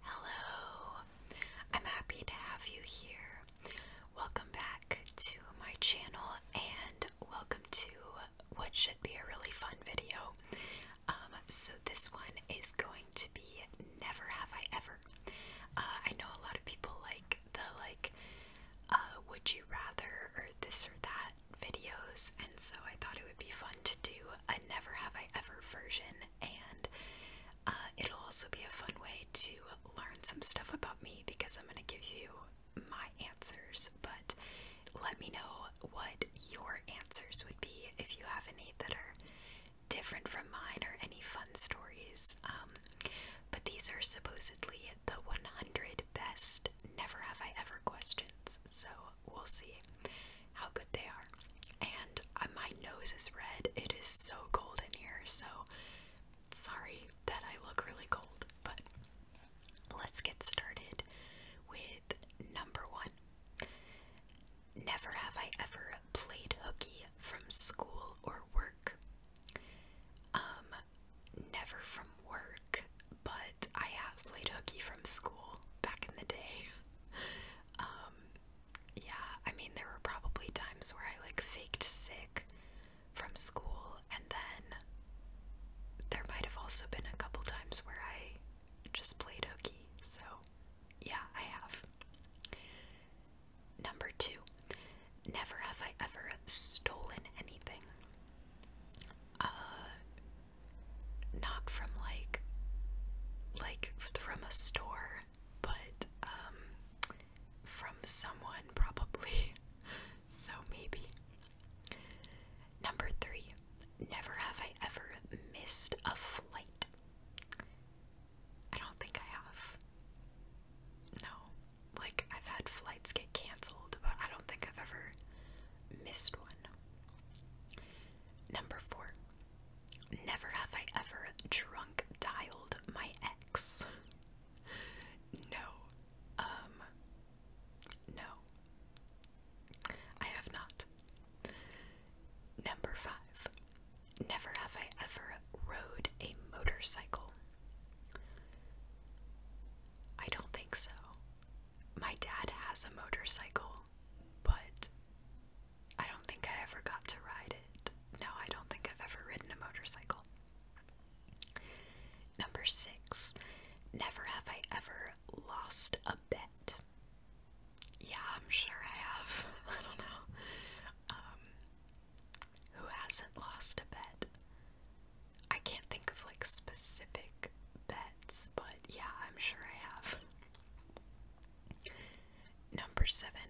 Hello, I'm happy to have you here. Welcome back to my channel and welcome to what should be a really fun video. Um, so, this one is going to be Never Have I Ever. Uh, I know a lot of people like the like uh, Would You Rather or This or That videos, and so I thought it would be fun to do a Never Have I Ever version and uh, it'll also be a fun way to learn some stuff about me because I'm going to give you my answers. But let me know what your answers would be if you have any that are different from mine or any fun stories. Um, but these are supposedly the 100 best never have I ever questions. So we'll see how good they are. And uh, my nose is red. It is so cold in here, so sorry that I look really cold, but let's get started with number one. Never have I ever played hooky from school or work. Um, never from work, but I have played hooky from school back in the day. um, yeah, I mean, there were probably times where I like faked sick from school, and then there might have also been a couple times where I just played hooky. So, yeah, I have. Number two, never have I ever stolen anything. Uh, not from like like from a store, but um, from someone probably. so maybe. Number 3. Never have I ever missed a flight. I don't think I have. No. Like, I've had flights get canceled, but I don't think I've ever missed one. Number four, Never have I ever drunk dialed my ex. no. Um no. I have not. Number 5. Never have I ever rode a motorcycle. I don't think so. My dad has a motorcycle, but I don't think I ever got to ride it. No, I don't think I've ever ridden a motorcycle. Number six, never have I ever lost a bet. Yeah, I'm sure I have. I don't know. Um, who hasn't lost a bet? I can't think of like specific bets, but yeah, I'm sure I have. Number seven,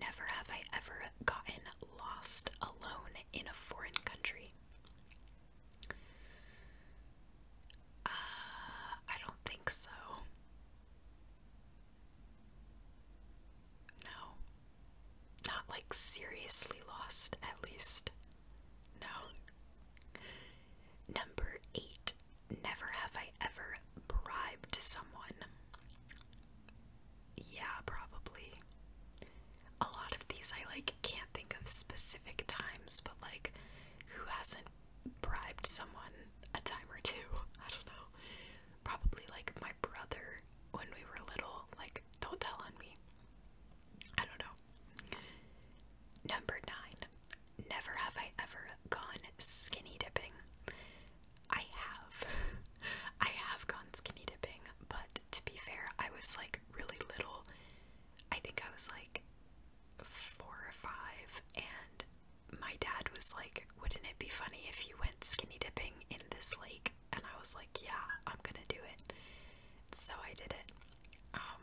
never have I ever gotten lost alone in a foreign country. Uh, I don't think so. No. Not like seriously lost, at least. No. Number eight, Never have I ever bribed someone. Yeah, probably. A lot of these I like can't think of specific times, but like who hasn't bribed someone a time or two? I don't know. Probably like my brother when we were little, like don't tell on me. I don't know. Number nine, never have I ever gone skinny dipping. I have. I have gone skinny dipping, but to be fair, I was like really little. I think I was like four or five, and my dad was like, Wouldn't it be funny if you went skinny dipping in this lake? And I was like, Yeah, I'm gonna do it. So I did it. Um,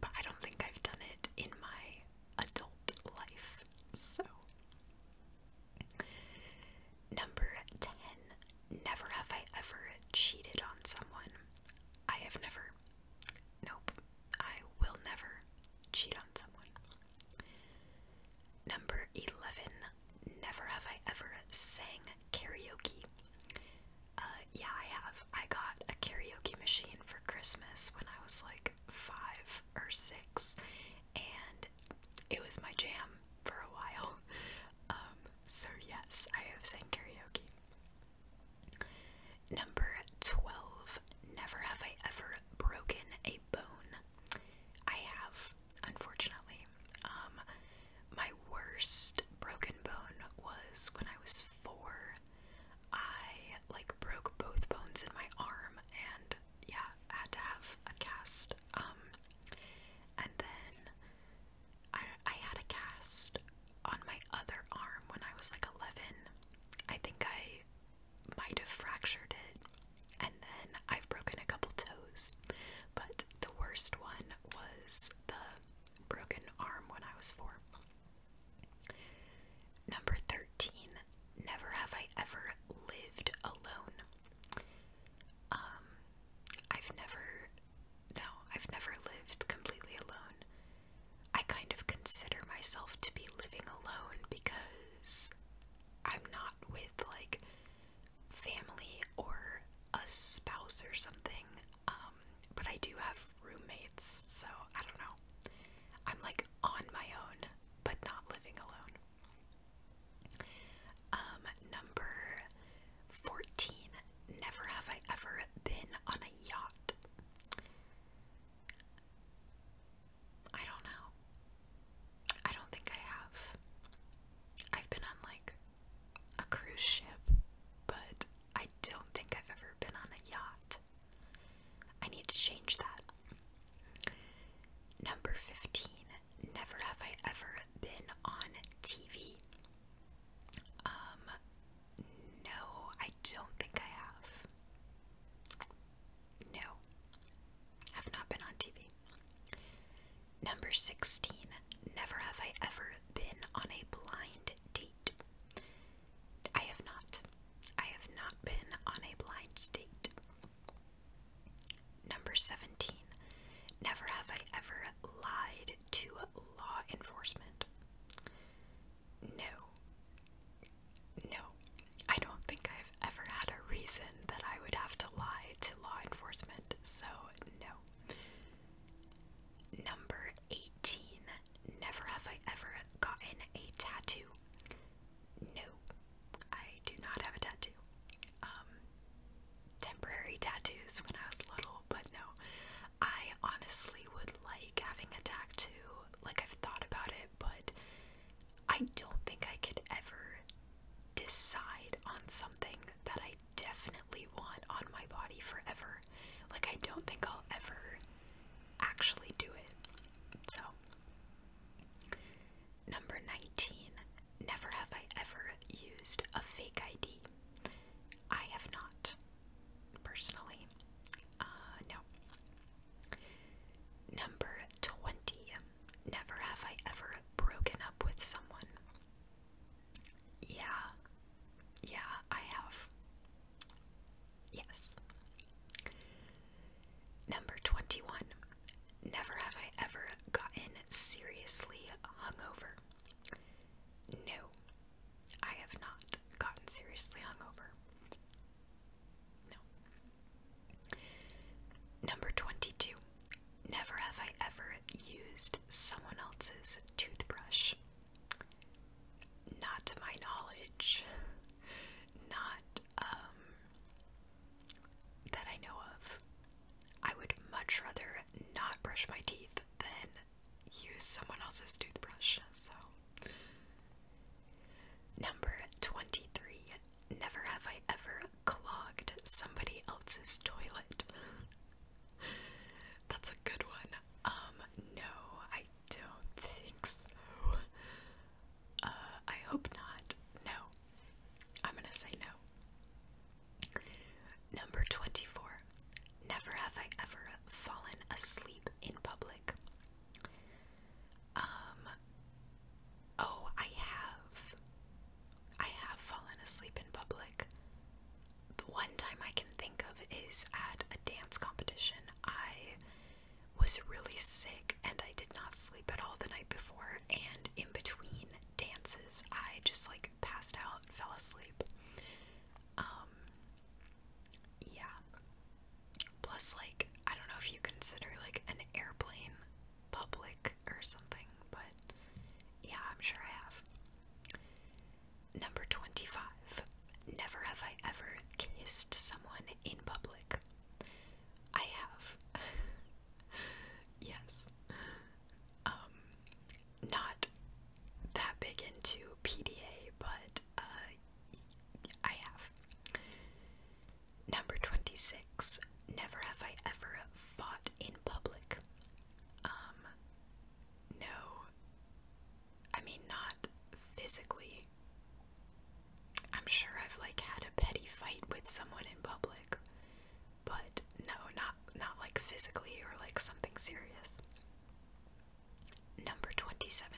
but I don't think I've done it in my adult life. So, number 10 Never have I ever cheated on someone. I have never. Nope. I will never cheat on someone. Number 11 Never have I ever sang karaoke. Uh, yeah, I have. I got a karaoke machine for Christmas when I was like five or six, and it was my jam for a while. Um, so, yes, I have sang karaoke. Number 12. Never have I ever broken a bone. I have, unfortunately. Um, my worst broken bone was when I was four. I like broke both bones in my arm and yeah, had to have a cast. Um and then I I had a cast on my other arm when I was like 11. I think I might have fractured it. And then I've broken a couple toes. But the worst one was the broken arm when I was 4. Number 13, never have I ever lived alone. Um, I've never, no, I've never lived completely alone. I kind of consider myself to be living alone because I'm not with like family or a spouse or something. Um, but I do have roommates, so I don't know. I'm like on my own, but not living alone. Um, number 14. Never have I ever been on a yacht. I don't know. I don't think I have. I've been on like a cruise ship, but I don't think I've ever been on a yacht. I need to change that. Number 15. Never have I ever been on TV. Um, no, I don't think I have. No, I've not been on TV. Number 16. Never have I ever been on a blind date. I have not. I have not been on a blind date. Number 17. Never have I ever lied to law enforcement. No. No. I don't think I've ever had a reason that I would have to lie to law enforcement, so no. Number 18. Never have I ever gotten a tattoo. No, I do not have a tattoo. Um, temporary tattoos when I was little, but no. I honestly would like having a tattoo. Like, I've thought about it, but I don't think I could ever decide on something that I definitely want on my body forever. Like, I don't think I'll ever actually do it. So, number 19. Never have I ever used a fake ID. I have not, personally. Uh, Number 20. Never have I ever broken up with someone. Yeah. Yeah, I have. Yes. Number 21. Never have I ever gotten seriously hungover. No, I have not gotten seriously hungover. No. Number 22. Never have I ever used someone else's toothbrush not to my knowledge, not um, that I know of. I would much rather not brush my teeth than use someone else's toothbrush. So, number 23 Never have I ever clogged somebody else's toilet. That's a good one. Um, no, I don't think so. Uh, I hope not. No. I'm gonna say no. Number 24. Never have I ever fallen asleep in public. Um, oh, I have. I have fallen asleep in public. The one time I can think of is at a dance competition. I was really sick and I did not sleep at all the night before and in between dances I just like passed out and fell asleep. Um yeah. Plus like I don't know if you consider like an airplane public or something, but yeah, I'm sure I have. Number 25. Never have I ever kissed someone in public. I have. yes. Um, not that big into PDA, but uh, I have. Number 26. Never have I ever fought in public. Um, no. I mean, not physically. I'm sure I've like had a petty fight with someone in public, but no, not not like physically or like something serious. Number 27.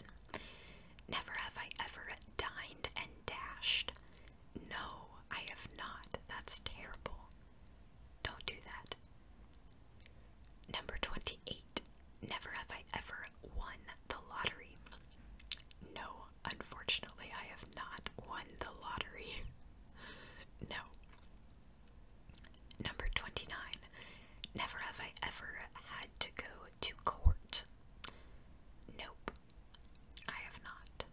Never have I ever dined and dashed. No, I have not. That's terrible. Don't do that. Number 28. Never have I ever won the lottery. No, unfortunately, I have not won the lottery. no. Number 29. Never have I ever had to go to court. Nope. I have not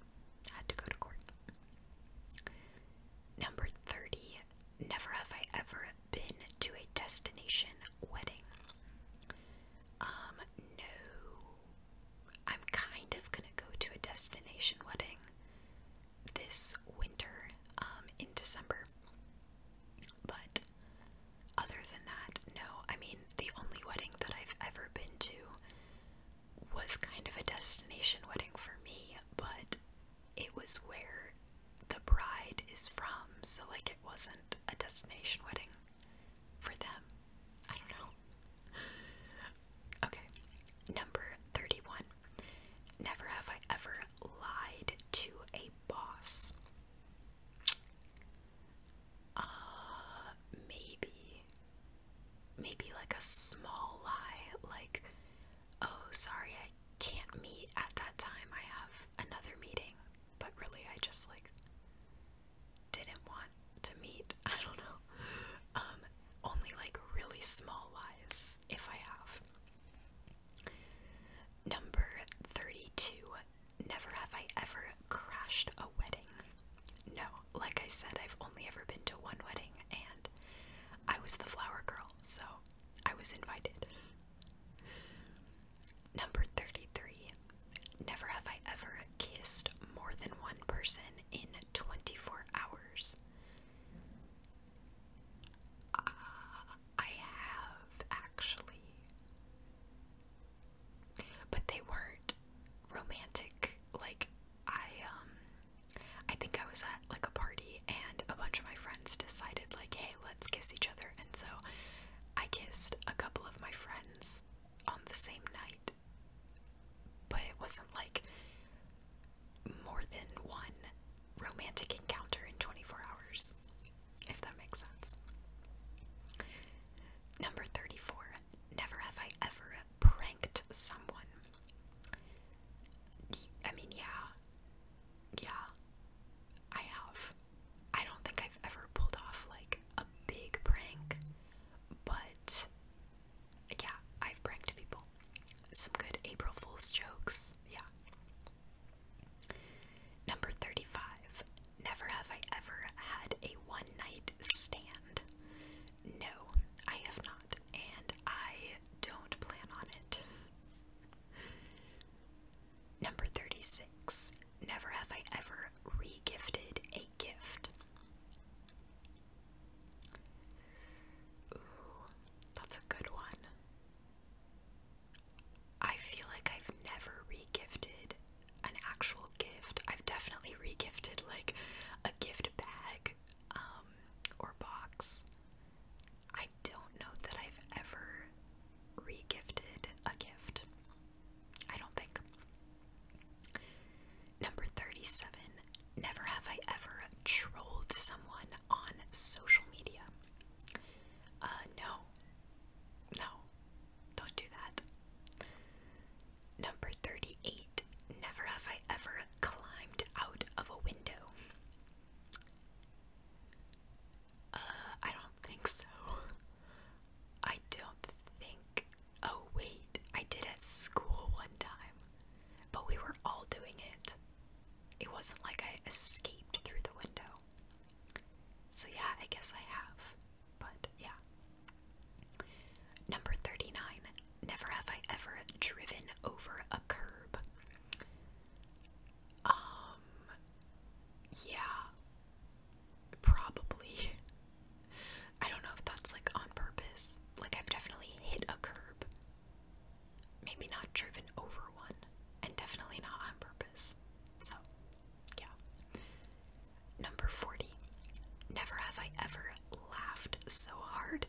had to go to court. Number 30. Never have I ever been to a destination wedding? Um, no. I'm kind of gonna go to a destination wedding this winter, um, in December. But other than that, no. I mean, the only wedding that I've ever been to was kind of a destination wedding for me, but it was where the bride is from, so like it wasn't a destination wedding for them. I don't know. Okay, number 31. Never have I ever lied to a boss. Uh, maybe. Maybe like a small lie, like, oh, sorry, I can't meet at that time, I have another meeting but really I just like didn't want to meet. I don't know. Um, only like really small lies, if I have. Number 32. Never have I ever crashed a wedding. No, like I said, I've only ever been to one wedding, and I was the flower girl, so I was invited. Number 33. Never have I ever kissed more than one person in 24 hours. Uh, I have actually. But they weren't romantic. Like I um I think I was at like a party and a bunch of my friends decided like, "Hey, let's kiss each other." And so I kissed a couple of my friends on the same night, but it wasn't like more than one romantic encounter in 24 hours, if that makes sense. Number 34. Never have I ever pranked someone. I mean, yeah. Yeah, I have. I don't think I've ever pulled off like a big prank, but yeah, I've pranked people. Some good April Fool's jokes, yeah. Number 35. Never have I ever had a one night stand. No, I have not, and I don't plan on it. Number 36. Never have I ever regifted a gift. Ooh, that's a good one. I feel like I've never regifted an actual gift. I've definitely re-gifted like a gift bag um, or box. I don't know that I've ever regifted a gift. I don't think. Number 37. Never have I ever trolled someone on social media. Uh, no. No. Don't do that. Number 38. Never have I ever climbed out of a window. Uh, I don't think so. I don't think. Oh, wait. I did at school one time. But we were all doing it. It wasn't like I escaped through the window. So, yeah, I guess I have. But, yeah. Number 39. Never have I ever driven over a curb. Um, yeah, probably. I don't know if that's like on purpose. Like, I've definitely hit a curb, maybe not driven over one, and definitely not on purpose. So, yeah. Number 40. Never have I ever laughed so hard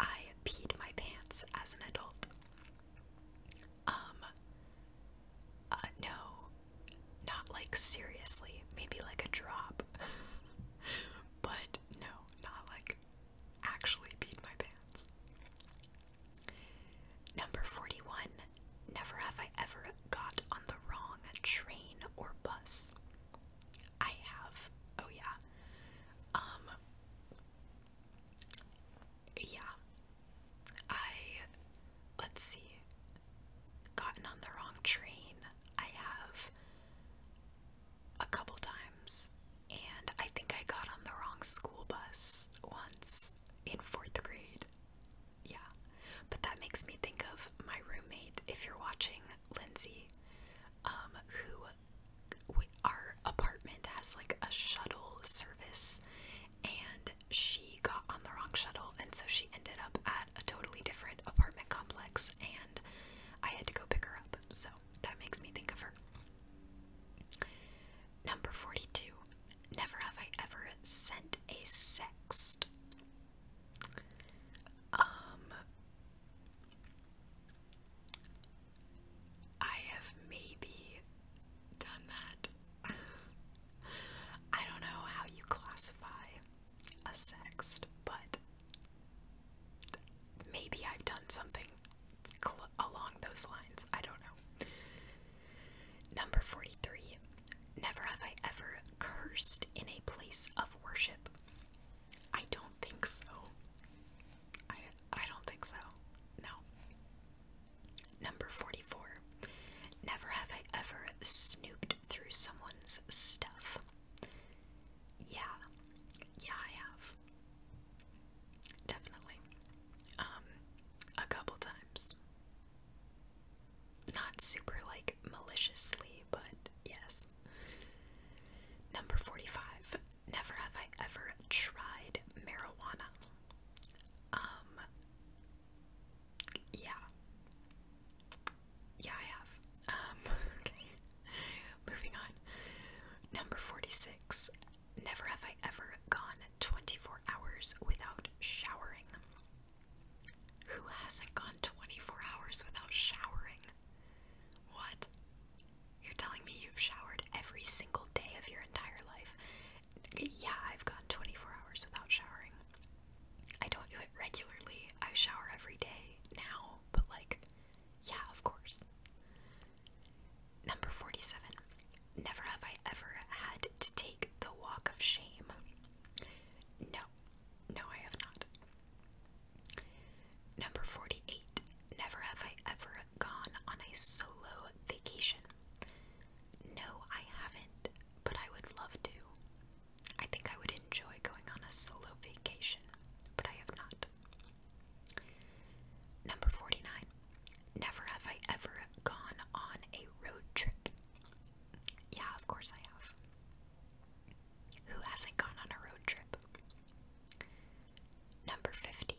I peed my pants as an adult. Um, uh, no, not like seriously, maybe like a drop. but no, not like actually beat my pants. Number 41. Never have I ever got on the wrong train or bus. I have. Oh, yeah. Um, yeah, I let's see, gotten on the wrong train. I have a couple times, and I think I got on the wrong school bus once in fourth grade. Yeah, but that makes me think of my roommate. If you're watching, Lindsay, um, who our apartment has like a shuttle service, and she got on the wrong shuttle, and so she ended up at a totally different apartment complex, and I had to go pick her up, so that makes me think of her. Number 42. Never have I ever sent a sext. Um, I have maybe done that. I don't know how you classify a sext, but maybe I've done something along those lines. I don't know. Number 43. Never have I ever cursed in a place of worship. I don't think so. I I don't think so. No. Number 44. Never have I ever snooped through someone's stuff. Yeah. Yeah, I have. Definitely. Um, a couple times. Not super, like, maliciously, but yes. Number 45. Never have I ever tried marijuana. Um, yeah. Yeah, I have. Um, okay. Moving on. Number 46. Never have I ever gone 24 hours without showering. Who hasn't gone 24 hours without showering? What? You're telling me you've showered every single day of your entire life yeah, I've gone 24 hours without showering. I don't do it regularly. I shower every day now, but like, yeah, of course. Number 47. Never have I ever had to take the walk of shame. No, no, I have not. Number 48. Never have I ever gone on a solo vacation. No, I haven't, but I would love to. I think I would enjoy going on a solo vacation, but I have not. Number 49. Never have I ever gone on a road trip. Yeah, of course I have. Who hasn't gone on a road trip? Number 50.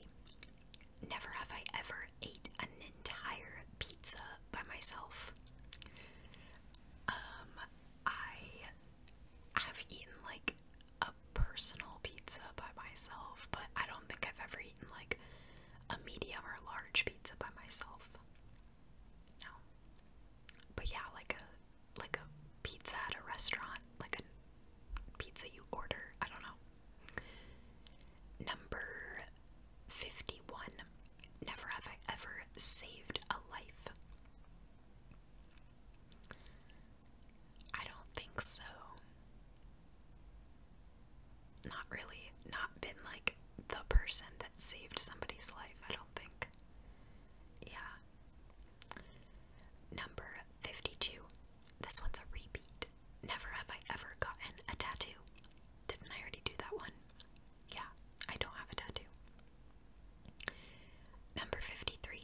Never have I ever ate an entire pizza by myself. Um, I have eaten like a personal pizza by myself, but I don't think I've ever eaten like a medium or large pizza by myself. No. But yeah, like a like a pizza at a restaurant, like a pizza you order, I don't know. Number 51. Never have I ever saved a life. I don't think so. Not really. Not been like the person that saved somebody's life, I don't think. Yeah. Number 52. This one's a repeat. Never have I ever gotten a tattoo. Didn't I already do that one? Yeah, I don't have a tattoo. Number 53.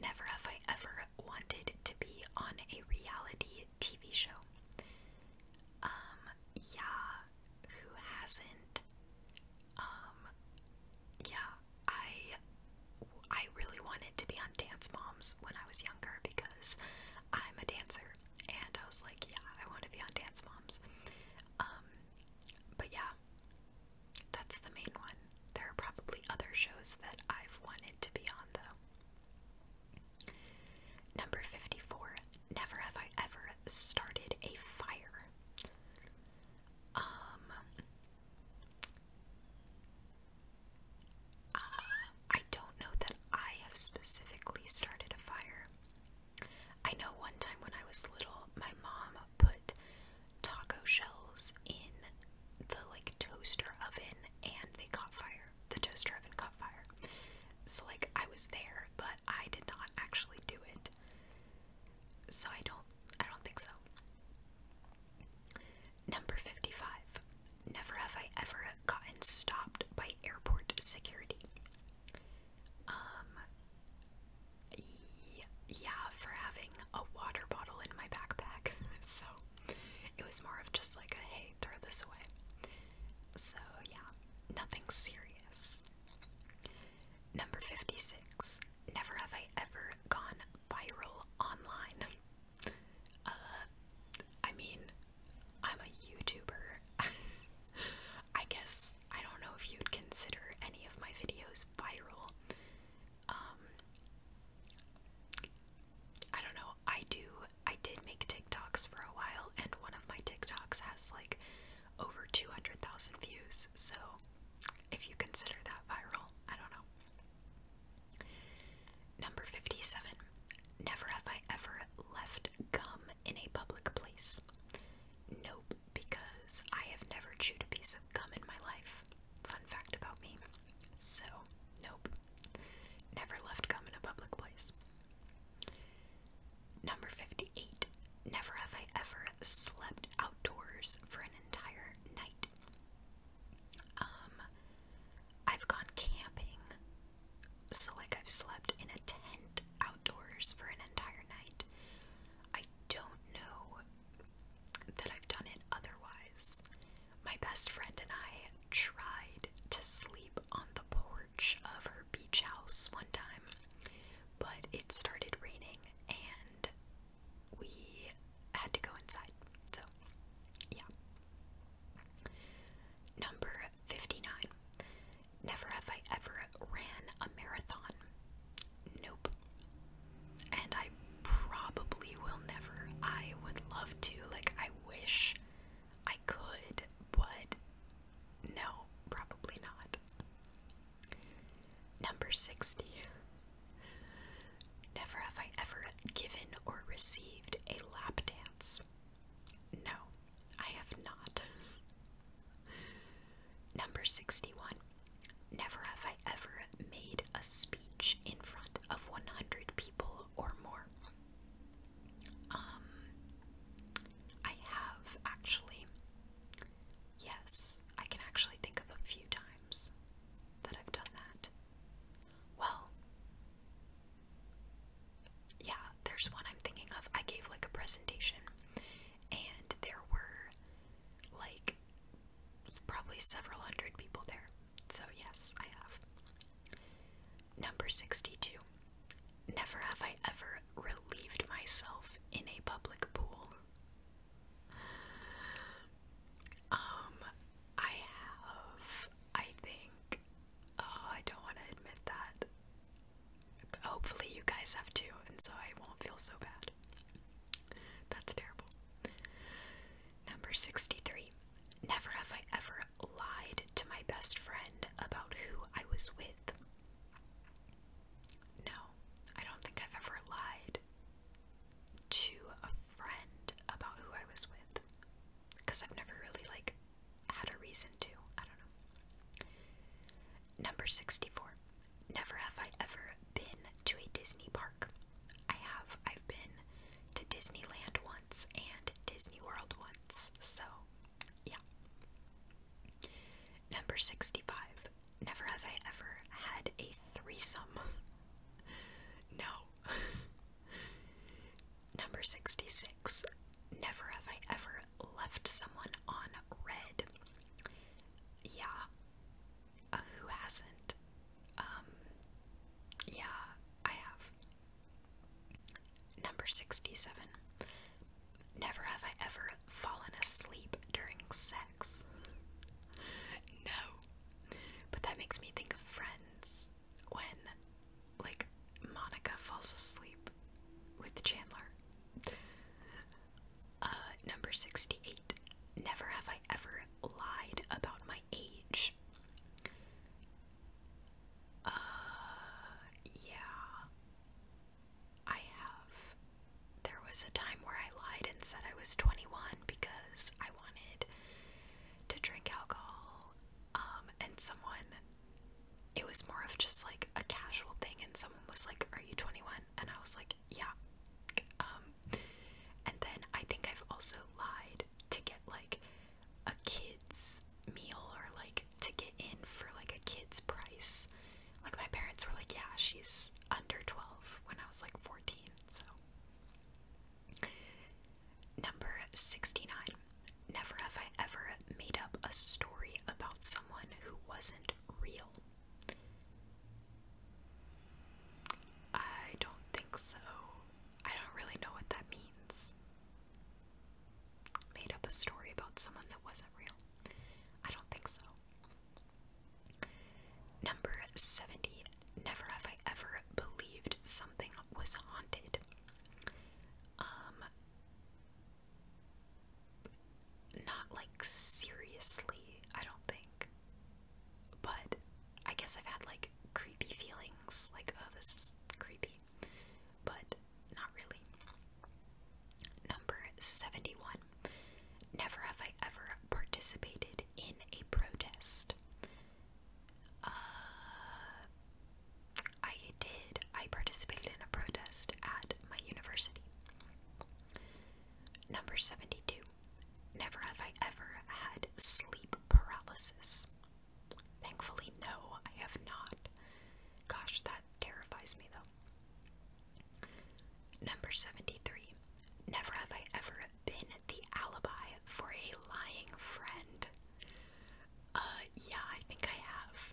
Never have I ever wanted to be on a reality TV show. Um, yeah, who hasn't? Um, yeah, I I really wanted to be on Dance Moms when I was younger because I'm a dancer and I was like, yeah, I want to be on Dance Moms. Um, but yeah, that's the main one. There are probably other shows that I've wanted to be on though. Number 54. Never have I ever started a fire. Um, uh, I don't know that I have specifically started a fire. I know one time when I was little, my mom put taco shells in the like toaster oven and they caught fire. The toaster oven caught fire. So like I was there, but I did not actually do it. So I don't I don't think so. Number 55. Never have I ever gotten stopped by airport security. Um, yeah, for having a water bottle in my backpack. so it was more of just like a hey, throw this away. So yeah, nothing serious. Number 56. Never have I ever gone viral online. Uh, I mean, I'm a YouTuber. I guess I don't know if you'd consider any of my videos viral. Um, I don't know. I do I did make TikToks for a while and one of my TikToks has like over 200,000 views. So if you consider that viral, I don't know. Number 57. Never have I ever left gum in a public place. Nope, because I have never chewed a piece of gum in my life. Fun fact about me. So, nope. Never left gum in a public place. Number 58. Never have I ever slept outdoors for an entire night. Um, I've gone camping so, like, I've slept in a tent outdoors for an entire night. I don't know that I've done it otherwise. My best friend and I tried to sleep on the porch of her beach house one time, but it started raining and we had to go inside. So, yeah. Number 59. Never have I ever ran a marathon. Nope. And I probably will never. I would love to. Like, I wish I could, but no, probably not. Number 60. Never have I ever given or received a lap dance. No, I have not. Number 61. Never have I ever made a speech in front of 100 people or more. Um, I have actually. Yes, I can actually think of a few times that I've done that. Well, yeah, there's one I'm thinking of. I gave like a presentation, and there were like probably several hundred people there. So, yes, I have. Number 62. Never have I ever relieved myself in a public pool. Um, I have, I think, Oh, I don't want to admit that. hopefully, you guys have too, and so I won't feel so bad. That's terrible. Number 63. Never have I ever lied to my best friend about who I was with. No, I don't think I've ever lied to a friend about who I was with because I've never really like had a reason to. I don't know. Number 64. Never have I ever been to a Disney park. I have. I've been to Disneyland once and Disney World once. So, yeah. Number 65. Never have I ever had a threesome. no. Number 66. Never have I ever left someone on red. Yeah. Uh, who hasn't? Um, yeah, I have. Number 67. Never have I ever fallen asleep during sex. No. But that makes me think of friends when like Monica falls asleep with Chandler. Uh, number 68. Never have I ever lied about my age. Uh, yeah. I have. There was a time where I lied and said I was 21 because I wanted to drink alcohol. Um, and someone it was more of just like a casual thing and someone was like are you 21 and i was like yeah um, and then i think i've also lied to get like a kid's meal or like to get in for like a kid's price like my parents were like yeah she's under 12 when i was like 14 so Number 69. Never have I ever made up a story about someone who wasn't real. I don't think so. I don't really know what that means. Made up a story about someone that wasn't real. I don't think so. Number 70. Never have I ever believed something was haunted. Um, not like seriously, I don't think. But I guess I've had like creepy feelings, like, oh, this creepy. But not really. Number 71. Never have I ever participated in a protest. Uh, I did. I participated in a protest at my university. Number 72. Never have I ever had sleep paralysis. Thankfully, no, I have not. Gosh, that terrifies me though. Number 73. Never have I ever been the alibi for a lying friend. Uh, yeah, I think I have.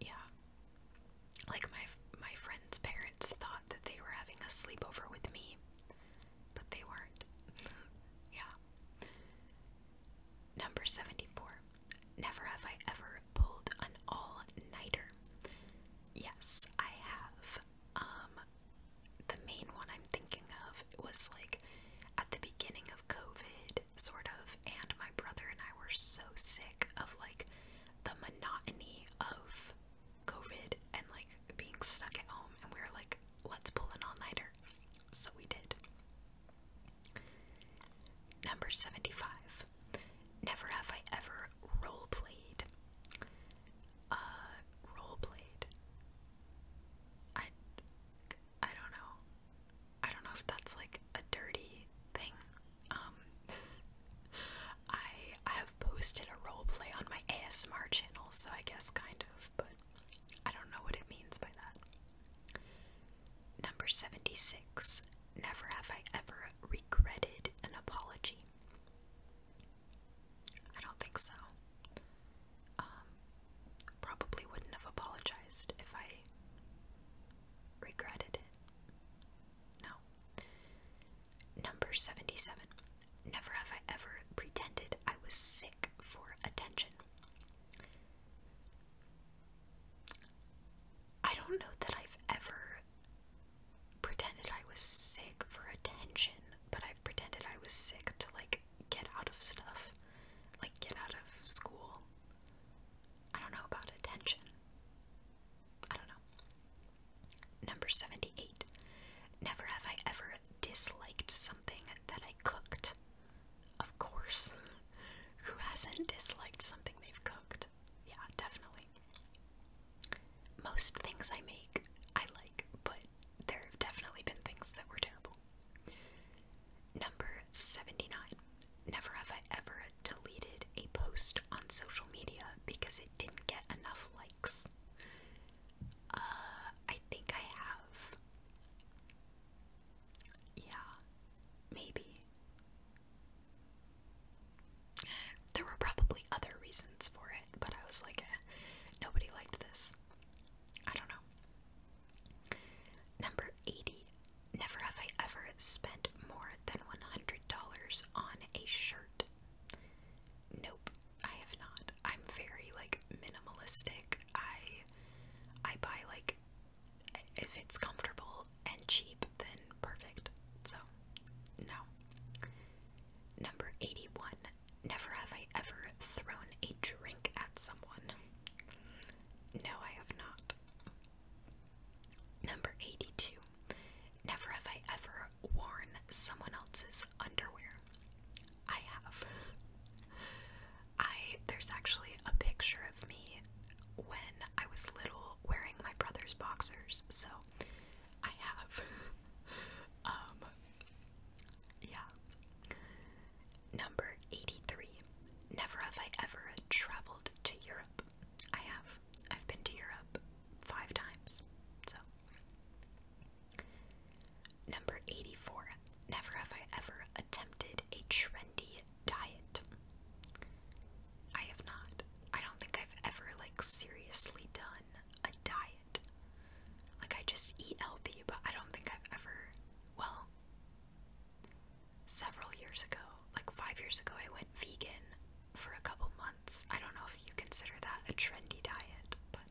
Yeah. Like my my friend's parents thought that they were having a sleepover with me, but they weren't. yeah. Number 74. Never have I ever pulled an all-nighter. Yes, I have. Um the main one I'm thinking it was like at the beginning of COVID, sort of, and my brother and I were so sick of like the monotony of COVID and like being stuck at home, and we were like, let's pull an all nighter. So we did. Number 75. Never have I ever role played. Uh, I I don't know. I don't know if that's like a dirty thing. Um I I have posted a role play on my ASMR channel, so I guess kind of, but I don't know what it means by that. Number 76. Never have I ever regretted an apology. I don't think so um, probably wouldn't have apologized if I regretted it. No. Number 77. Never have I ever pretended I was sick for attention. I don't know that I've ever pretended I was sick for attention, but I've pretended I was sick to like get out of stuff, like get out of school. I don't know about attention. I don't know. Number 78. Never have I ever disliked something that I cooked. Of course. Who hasn't disliked something they've cooked? Yeah, definitely. Most things I make, I like, but there have definitely been things that were terrible. Number 79. Never have I ever deleted a post on social media because it didn't get enough likes. Uh, I think I have. Yeah, maybe. There were probably other reasons for it, but I was like, eh, nobody liked this. I don't know. Number 80. Never have I ever spent more than $100 on a shirt. Nope, I have not. I'm very like minimalistic. I I buy like if it's comfortable and cheap, then perfect. So, no. Number 81. Never have I ever thrown a drink at someone. No, I have not. Number 82. Never have I ever worn someone else's underwear. I have. I there's actually a picture of me when I was little wearing my brother's boxers, so I have. um yeah. Number 83. Never have I ever traveled to Europe. I have. I've been to Europe five times. So. Number 84. Never have I ever attempted a trendy diet. I have not. I don't think I've ever, like, seriously done a diet. Like, I just eat healthy, but I don't think I've ever. Well, Several years ago, like five years ago, I went vegan for a couple months. I don't know if you consider that a trendy diet, but.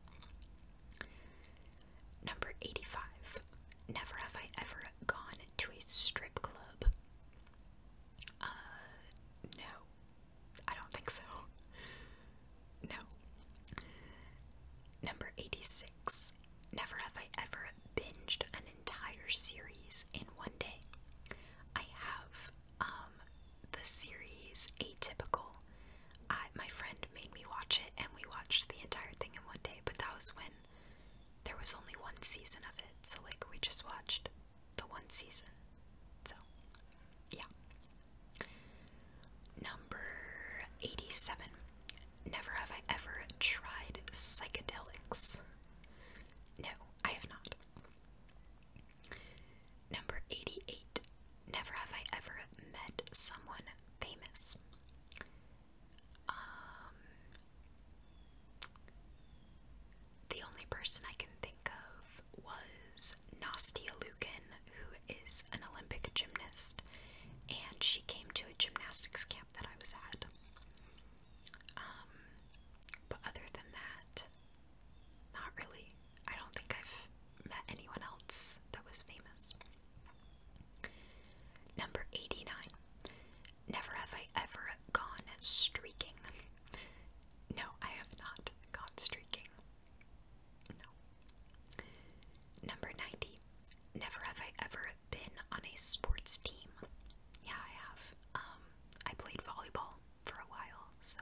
Number 85. Never have I ever gone to a strip club. Uh, no. I don't think so. No. Number 86. Never have I ever binged an entire series in one day. I have um, the series Atypical. I, my friend made me watch it, and we watched the entire thing in one day, but that was when there was only one season of it, so like we just watched the one season. So, yeah. Number 87. Never have I ever tried psychedelics. No, I have not. Number 88. Never have I ever met someone famous. Um, the only person I can think of was Nastia Lukin, who is an Olympic gymnast, and she came to a gymnastics camp that I was at. Um, but other than that, not really. I don't think I've met anyone else that was famous. Number 89. Never have I ever gone streaking. No, I have not gone streaking. Number 90. Never have I ever been on a sports team. Yeah, I have. Um, I played volleyball for a while, so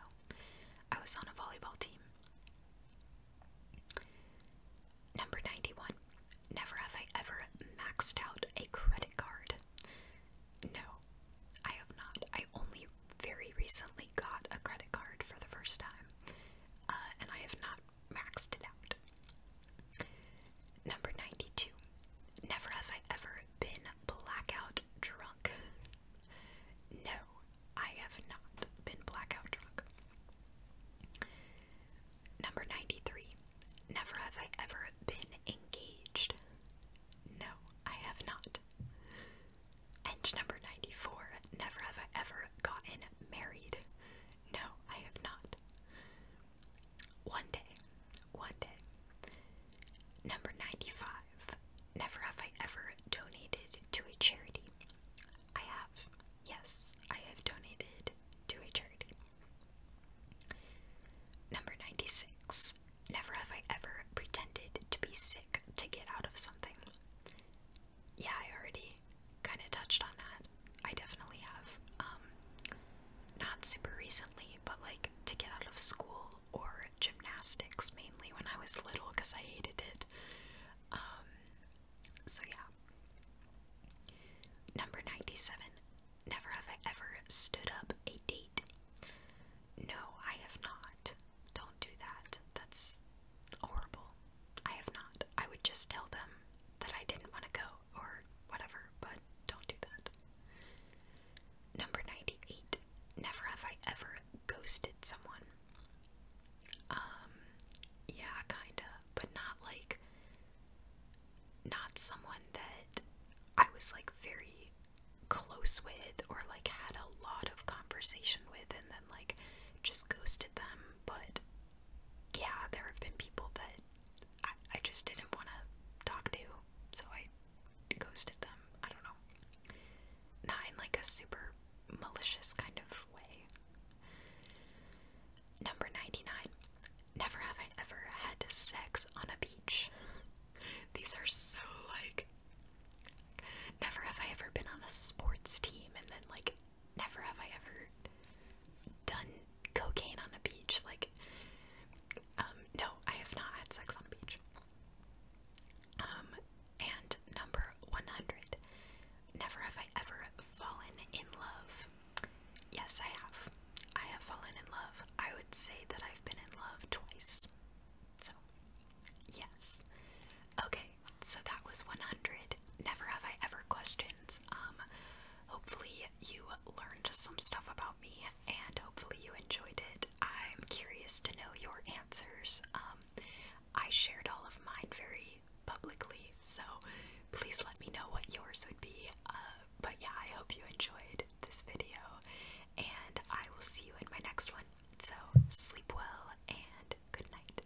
I was on a volleyball team. Number 91. Never have I ever maxed out a credit card. No, I have not. I only very recently got a credit card for the first time, uh, and I have not maxed it out. Number 92. Never have I ever been blackout drunk. No, I have not been blackout drunk. Number 93. Never have I ever been engaged. No, I have not. And number 94. Never have I ever gotten married. No, I have not. One day, one day. Number 95. Never have I ever donated to a charity. I have. Yes, I have donated to a charity. Number 96. Never have I ever pretended to be sick to get out of something yeah, I already kind of touched on that. I definitely have. Um, not super recently, but like to get out of school or gymnastics mainly when I was little because I hated it. Um, so yeah. Number 97. Never have I ever stood up a date. No, I have not. Don't do that. That's horrible. I have not. I would just tell them that I didn't want to go or whatever, but don't do that. Number 98. Never have I ever ghosted someone. Um, yeah, kinda, but not like, not someone that I was like very close with or like had a lot of conversation with and then like just ghosted them, but yeah, there have been people that I, just didn't want to talk to, so I ghosted them. I don't know. Not in like a super malicious kind of way. Number 99. Never have I ever had sex on a beach. These are so like. Never have I ever been on a sports team and then like never have I ever done cocaine on a beach. Like, um, no, I have not had sex on a beach. Um, and number 100, never have I ever fallen in love. Yes, I have. I have fallen in love. I would say that I've been in love twice. So, yes. Okay, so that was 100. Never have I ever questions. Um, hopefully you learned some stuff about me, and hopefully you enjoyed it. I'm curious to know your answers. Um, I shared all of mine very publicly, so please let me know what yours would be. Uh, but yeah, I hope you enjoyed this video, and I will see you in my next one. So sleep well and good night.